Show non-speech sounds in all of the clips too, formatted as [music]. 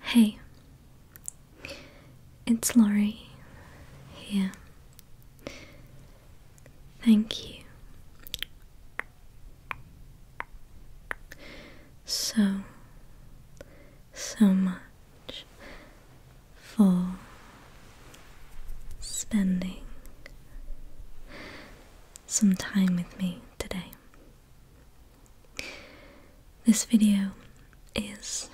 Hey, it's Laurie here. Thank you so, so much for spending some time with me today. This video is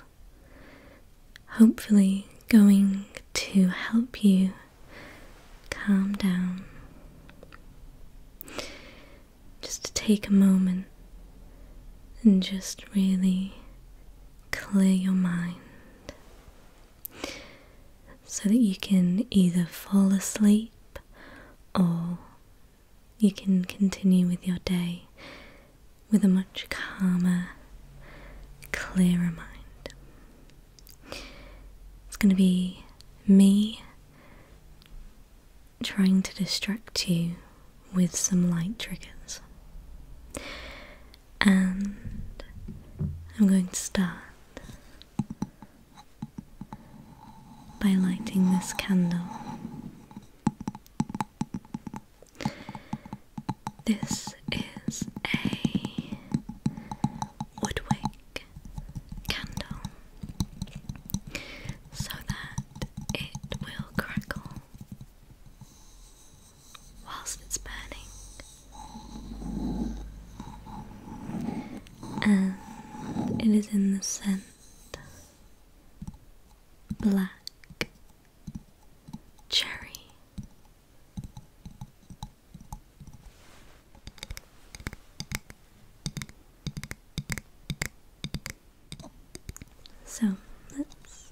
hopefully going to help you calm down. Just to take a moment and just really clear your mind so that you can either fall asleep or you can continue with your day with a much calmer, clearer mind. It's going to be me trying to distract you with some light triggers. And I'm going to start by lighting this candle. This is a woodwick candle so that it will crackle whilst it's burning. And it is in the scent black cherry so let's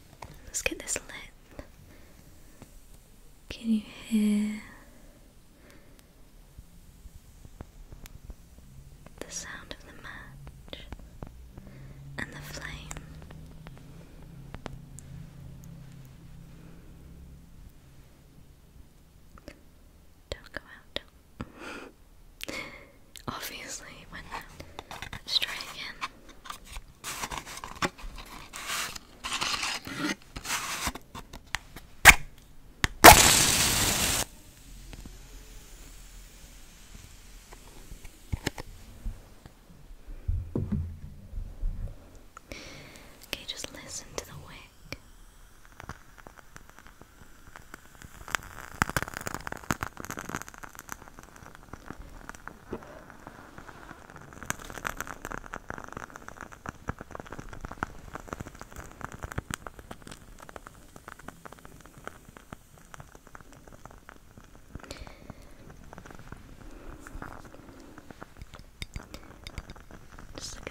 Let's get this lit. Can you hear the sound of the match and the flame? Don't go out. [laughs] obviously, when let's try again. Okay, just listen to the wick. Just look at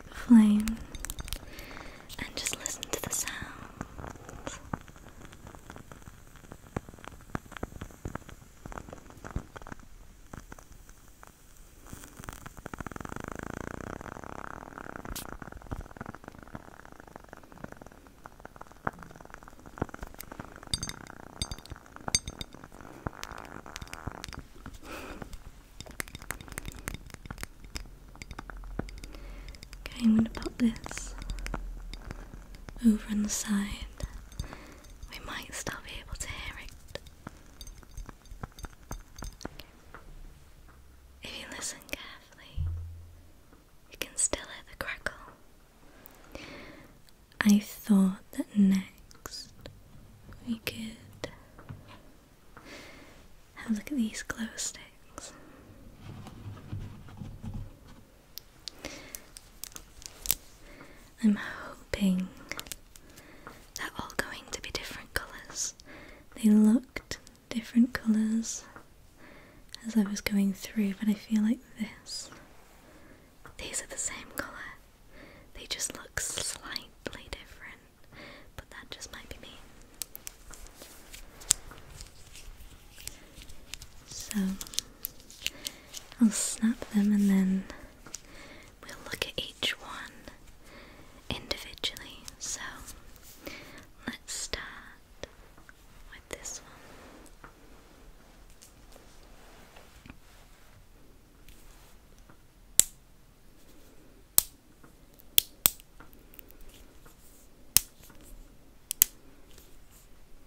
the flame and just listen to the sounds. Okay, I'm going to pop this over on the side. We might still be able to hear it. If you listen carefully, you can still hear the crackle. I thought that next we could have a look at these glow sticks. I'm hoping they're all going to be different colours. They looked different colours as I was going through, but I feel like this. These are the same colour. They just look slightly different, but that just might be me. So I'll snap them and then we'll look at each one individually. So let's start with this one.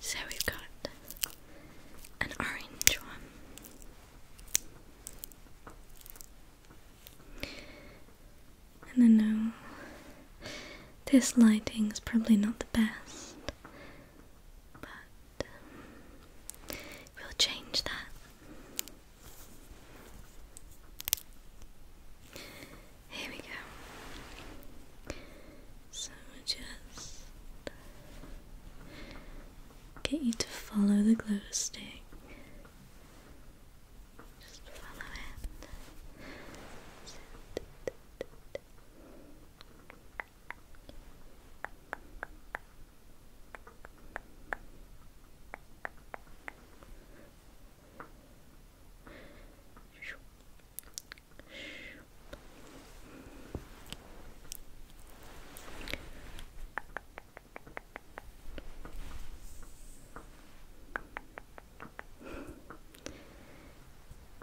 So we've got an orange one. And I know um, this lighting is probably not the best, but um, we'll change that. Here we go. So just get you to follow the glow stick. Just follow it.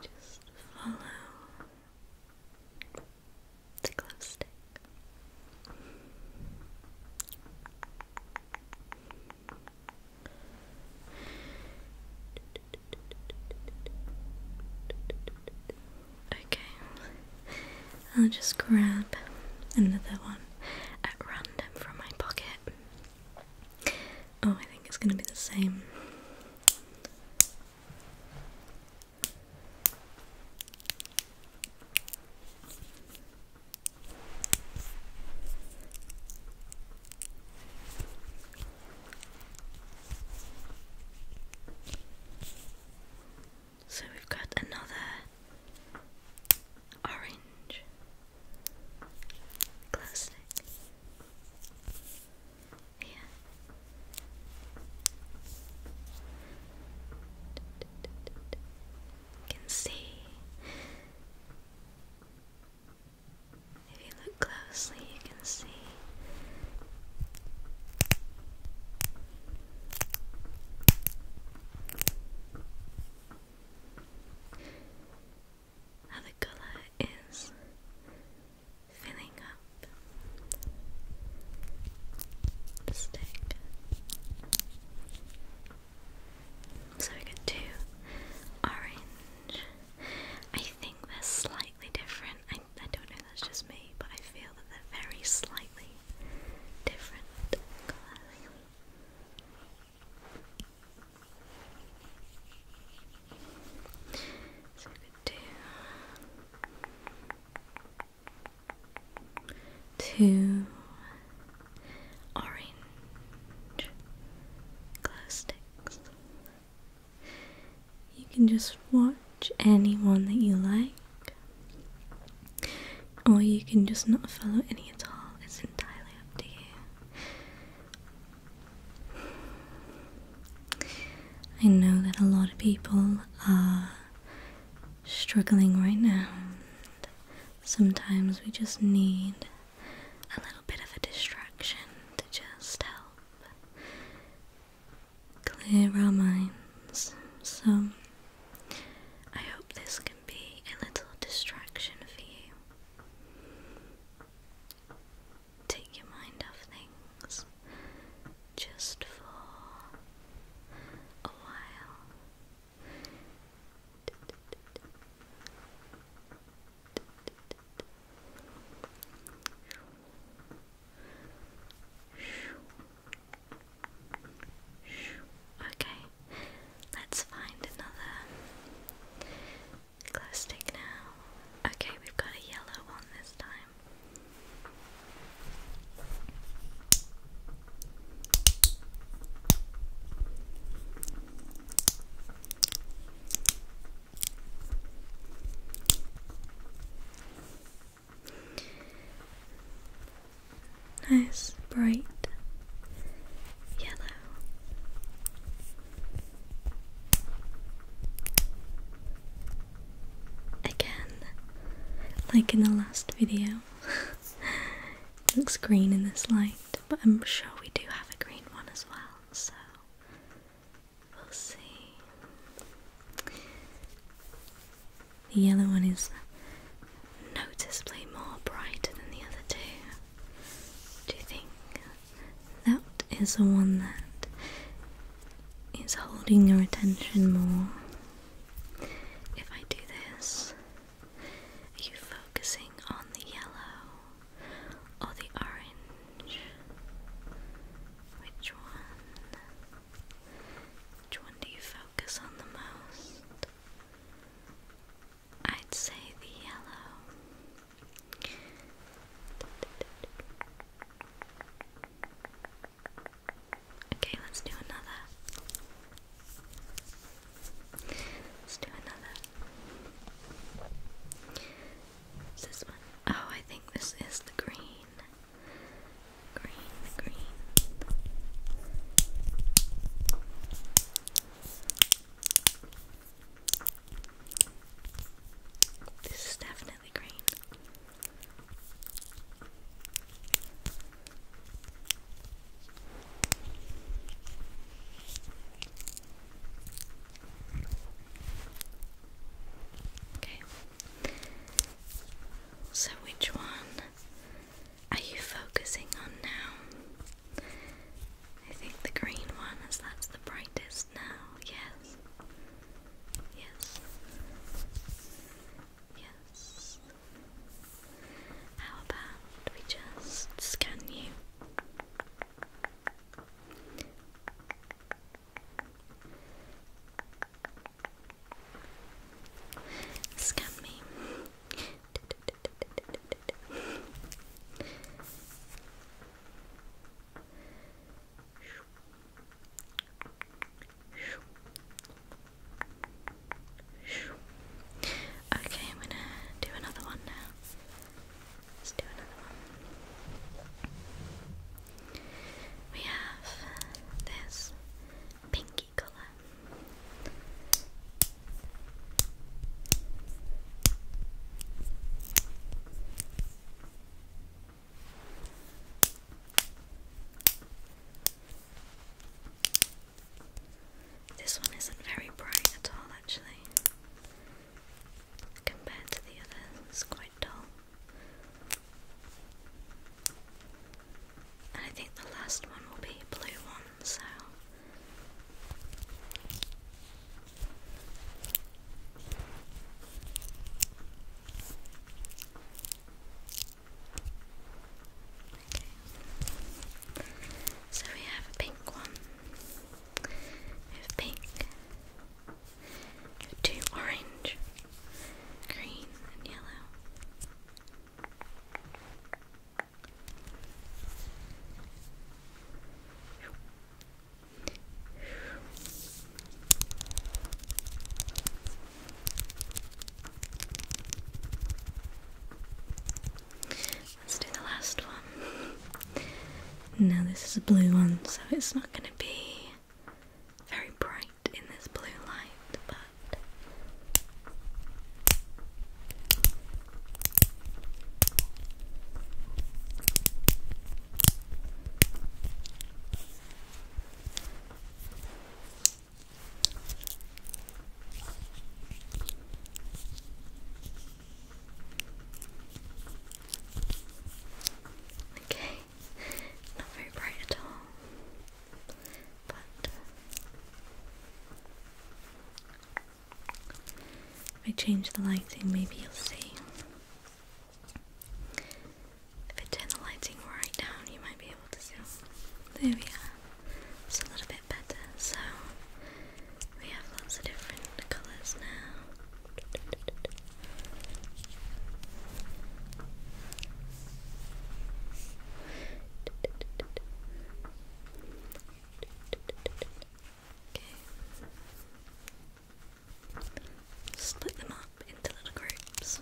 Just follow the glow stick. Okay, I'll just grab another one at random from my pocket. Oh, I think it's going to be the same. So we've got another orange classic here. You can see if you look closely, you can see how the color is filling up the stick. So we got two orange I think they're slightly different. I, I don't know, that's just me, but I feel that they're very slightly different colours. So I could do two orange glow sticks. You can just watch anyone that you like, or you can just not follow any at all. It's entirely up to you. I know that a lot of people are struggling right now. And sometimes we just need a little bit of a distraction to just help clear our minds. So, I hope this can be a little distraction for you. Take your mind off things just for a while. Okay, let's find another glow stick now. Okay, we've got a yellow one this time. Nice bright yellow. Again, like in the last video, [laughs] it looks green in this light. I'm sure we do have a green one as well, so we'll see. The yellow one is noticeably more brighter than the other two. Do you think that is the one that is holding your attention more? If I do this, are you focusing on the yellow Oh, the orange. Which one? Which one do you focus on the most? I'd say the yellow. Okay, let's do another. Let's do another. What's this one? Oh, I think this is the green. Green, green. This is definitely green. So, which one are you focusing on now? I think the green one, as that's the brightest now. Yes. Yes. Yes. How about we just scan you? Scan me. Okay, I'm gonna do another one now. Let's do another one. We have this pinky colour. This one isn't very bright at all, actually, compared to the others, it's quite dull. And I think the last one will be a blue one, so. So we have a pink one. We have pink. two orange, green, and yellow. Let's do the last one. Now, this is a blue one, so it's not going to be very bright in this blue light, but. Okay, not very bright at all, but if I change the lighting, maybe you'll see. If I turn the lighting right down, you might be able to see. There we are. It's a little bit better. So we have lots of different colours now. Okay. Split them up into little groups.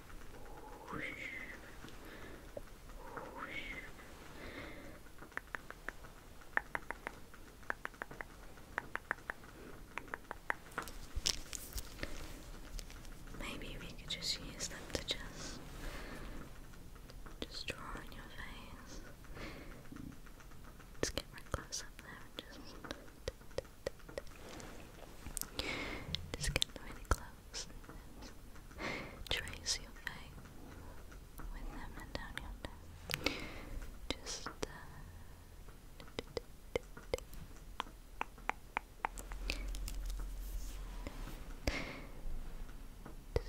Maybe we could just use them to just just draw on your face. Let's get right close up there just just get really close roses. Trace your face with them and down your neck. Just uh,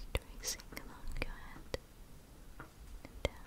tracing along your head and down.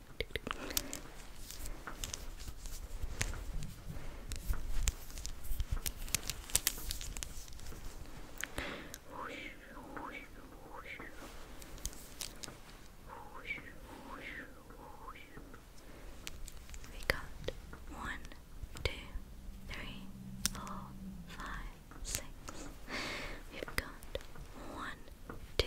We got one, two, three, four, five, six. We've got one, two,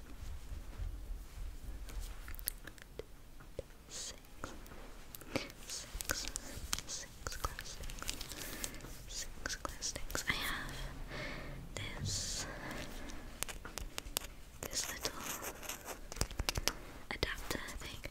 six, six, six glass I have this, this little adapter thing.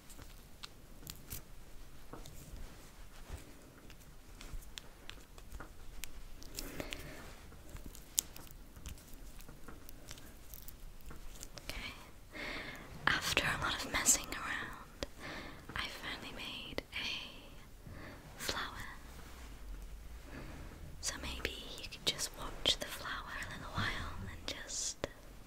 Okay. After a lot of messing around, I finally made a flower. So maybe you could just watch the flower a little while and just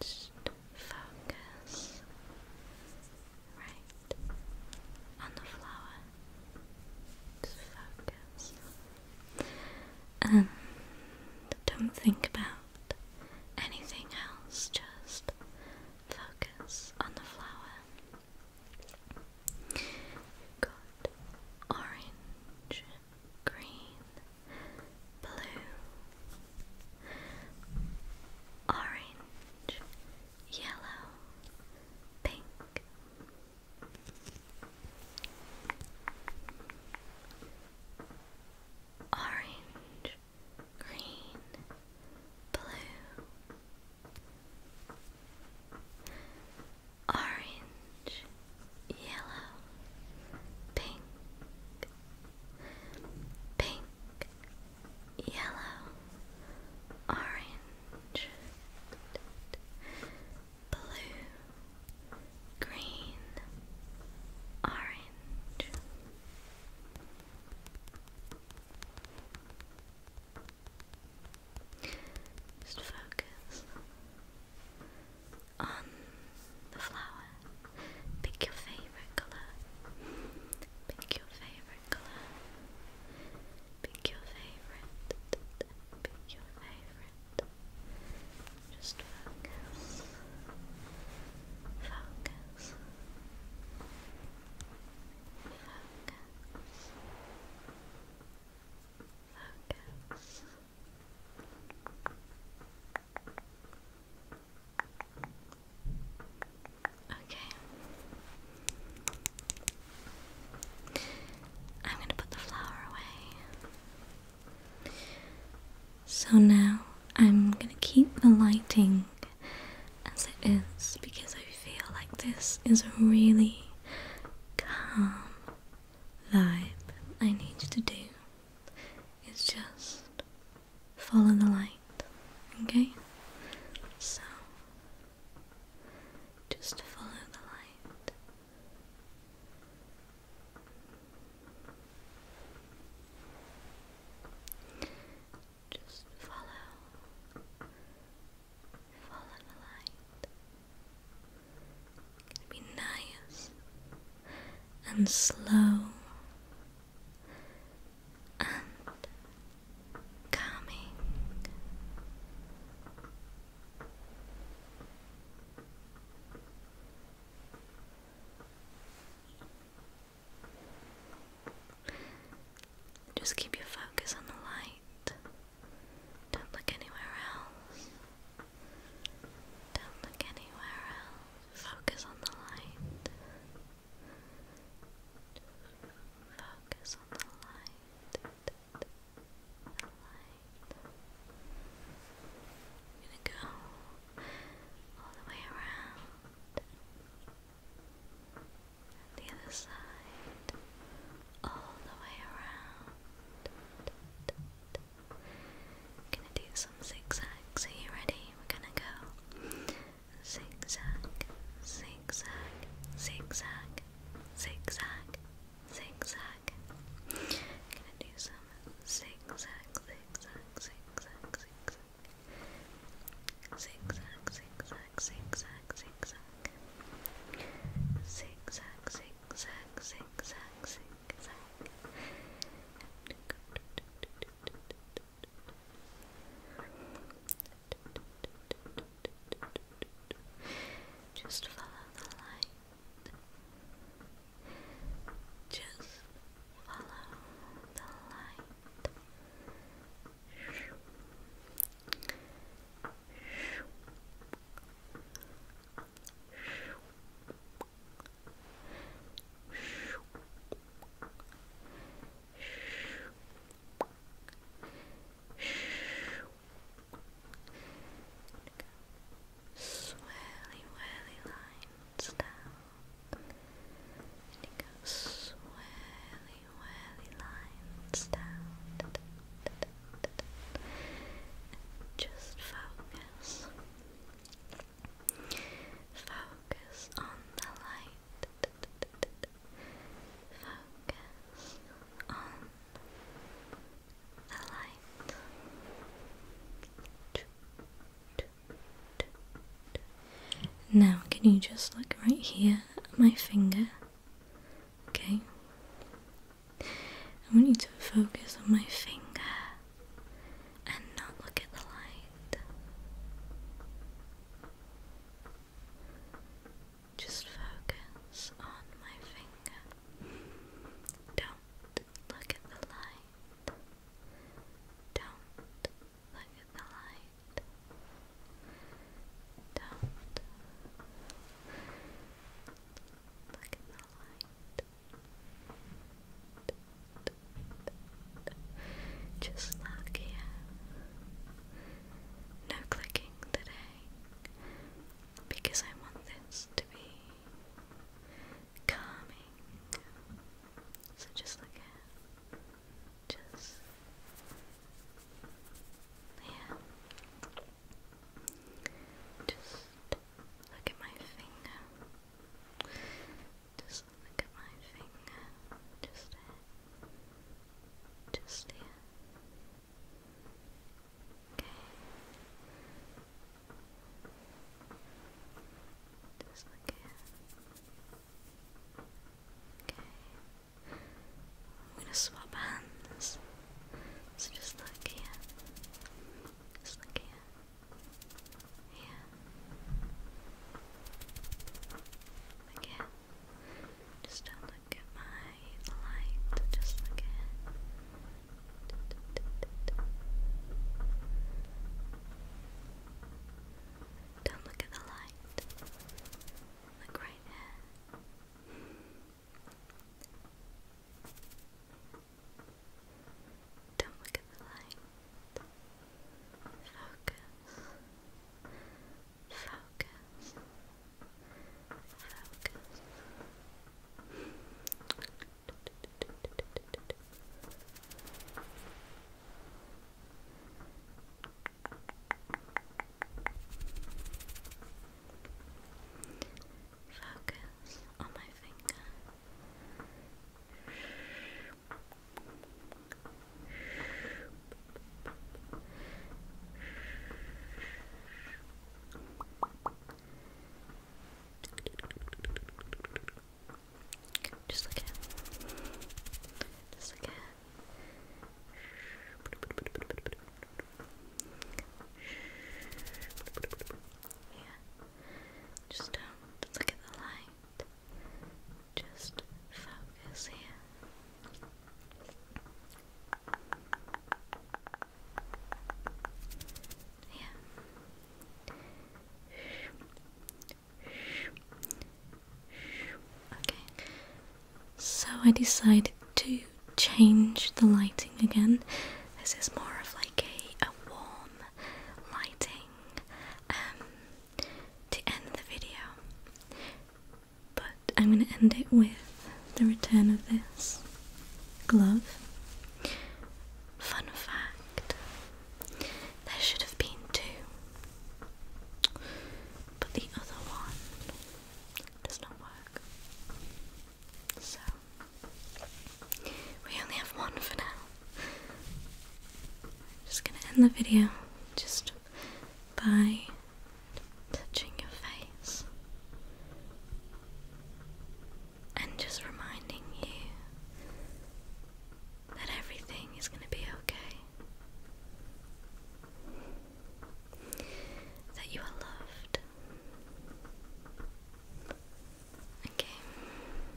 Just focus right on the flower. Just focus. And don't think about anything else, just focus on the flower. you orange green, blue, orange, yellow, pink. Orange, green, blue, orange, yellow, pink, pink, yellow, orange, blue, green, orange. Just focus on the flower. Pick your favorite color. Pick your favorite color. Pick your favorite. Pick your favorite. Just focus. Focus. Focus. Focus. Okay. I'm going to put the flower away. So now I'm going to keep the lighting as it is because I feel like this is really calm vibe I need to do is just follow the light, okay? So, just follow the light. Just follow, follow the light. Gonna be nice and slow and calming. Just keep your focus on the light. Don't look anywhere else. Don't look anywhere else. Focus on the light. Focus on the light. The light. gonna go all the way around. the other side. All the way around. Gonna do some zigzags. Are you ready? We're gonna go zigzag, zigzag, zigzag, zigzag, zigzag. Gonna do some zigzag, zigzag, zigzag, zigzag. Zigzag, zigzag, zigzag, zigzag. Zigzag, zigzag, zigzag, zigzag, zigzag. Just follow the light. Just follow the light. Swirly, whirly lines down. And you go swirly, whirly lines down just focus. Focus on the light. Focus on the light. Now, can you just look right here at my finger? Okay, I want you to focus on my finger and not look at the light. Just focus on my finger. Don't look at the light. Don't look at the light. Don't just look here. No clicking today because I want this to be calming. So just look here. Just yeah. Just look at my finger. Just look at my finger. Just Just here. Okay. Just look here. Okay. I'm gonna swap hands. It's just like here. Just like here. Here. Again. Just don't look at my light. Just look at don't look at the light. Look right there. Don't look at the light. Focus. Focus. Focus. Focus on my finger. Just look at Just look at yeah. Just um, look at the light. Just focus here. Yeah. Okay. So I decided to change the lighting again. This is more of like a, warm lighting um, to end the video. But I'm going to end it with the return of this glove. Fun fact there should have been two, but the other one does not work. So, we only have one for now. I'm just gonna end the video just by touching your face and just reminding you that everything is gonna be okay. That you are loved, Okay,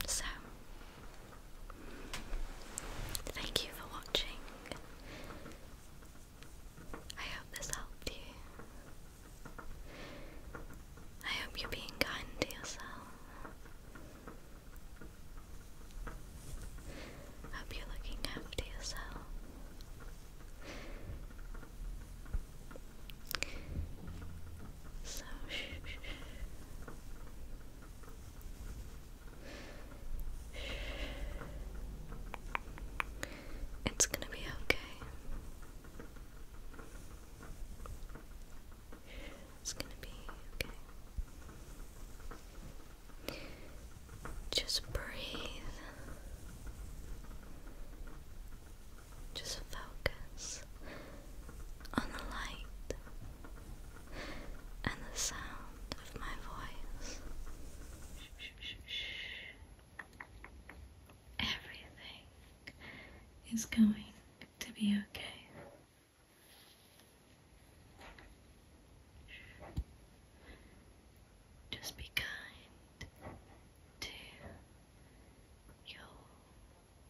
so thank you for watching. I hope this helped you. I hope you're being kind to yourself. Hope you're looking after yourself it's going to be okay. It's going to be okay. Just breathe. Just focus on the light and the sound of my voice. Everything is going to be okay. Just be kind to yourself.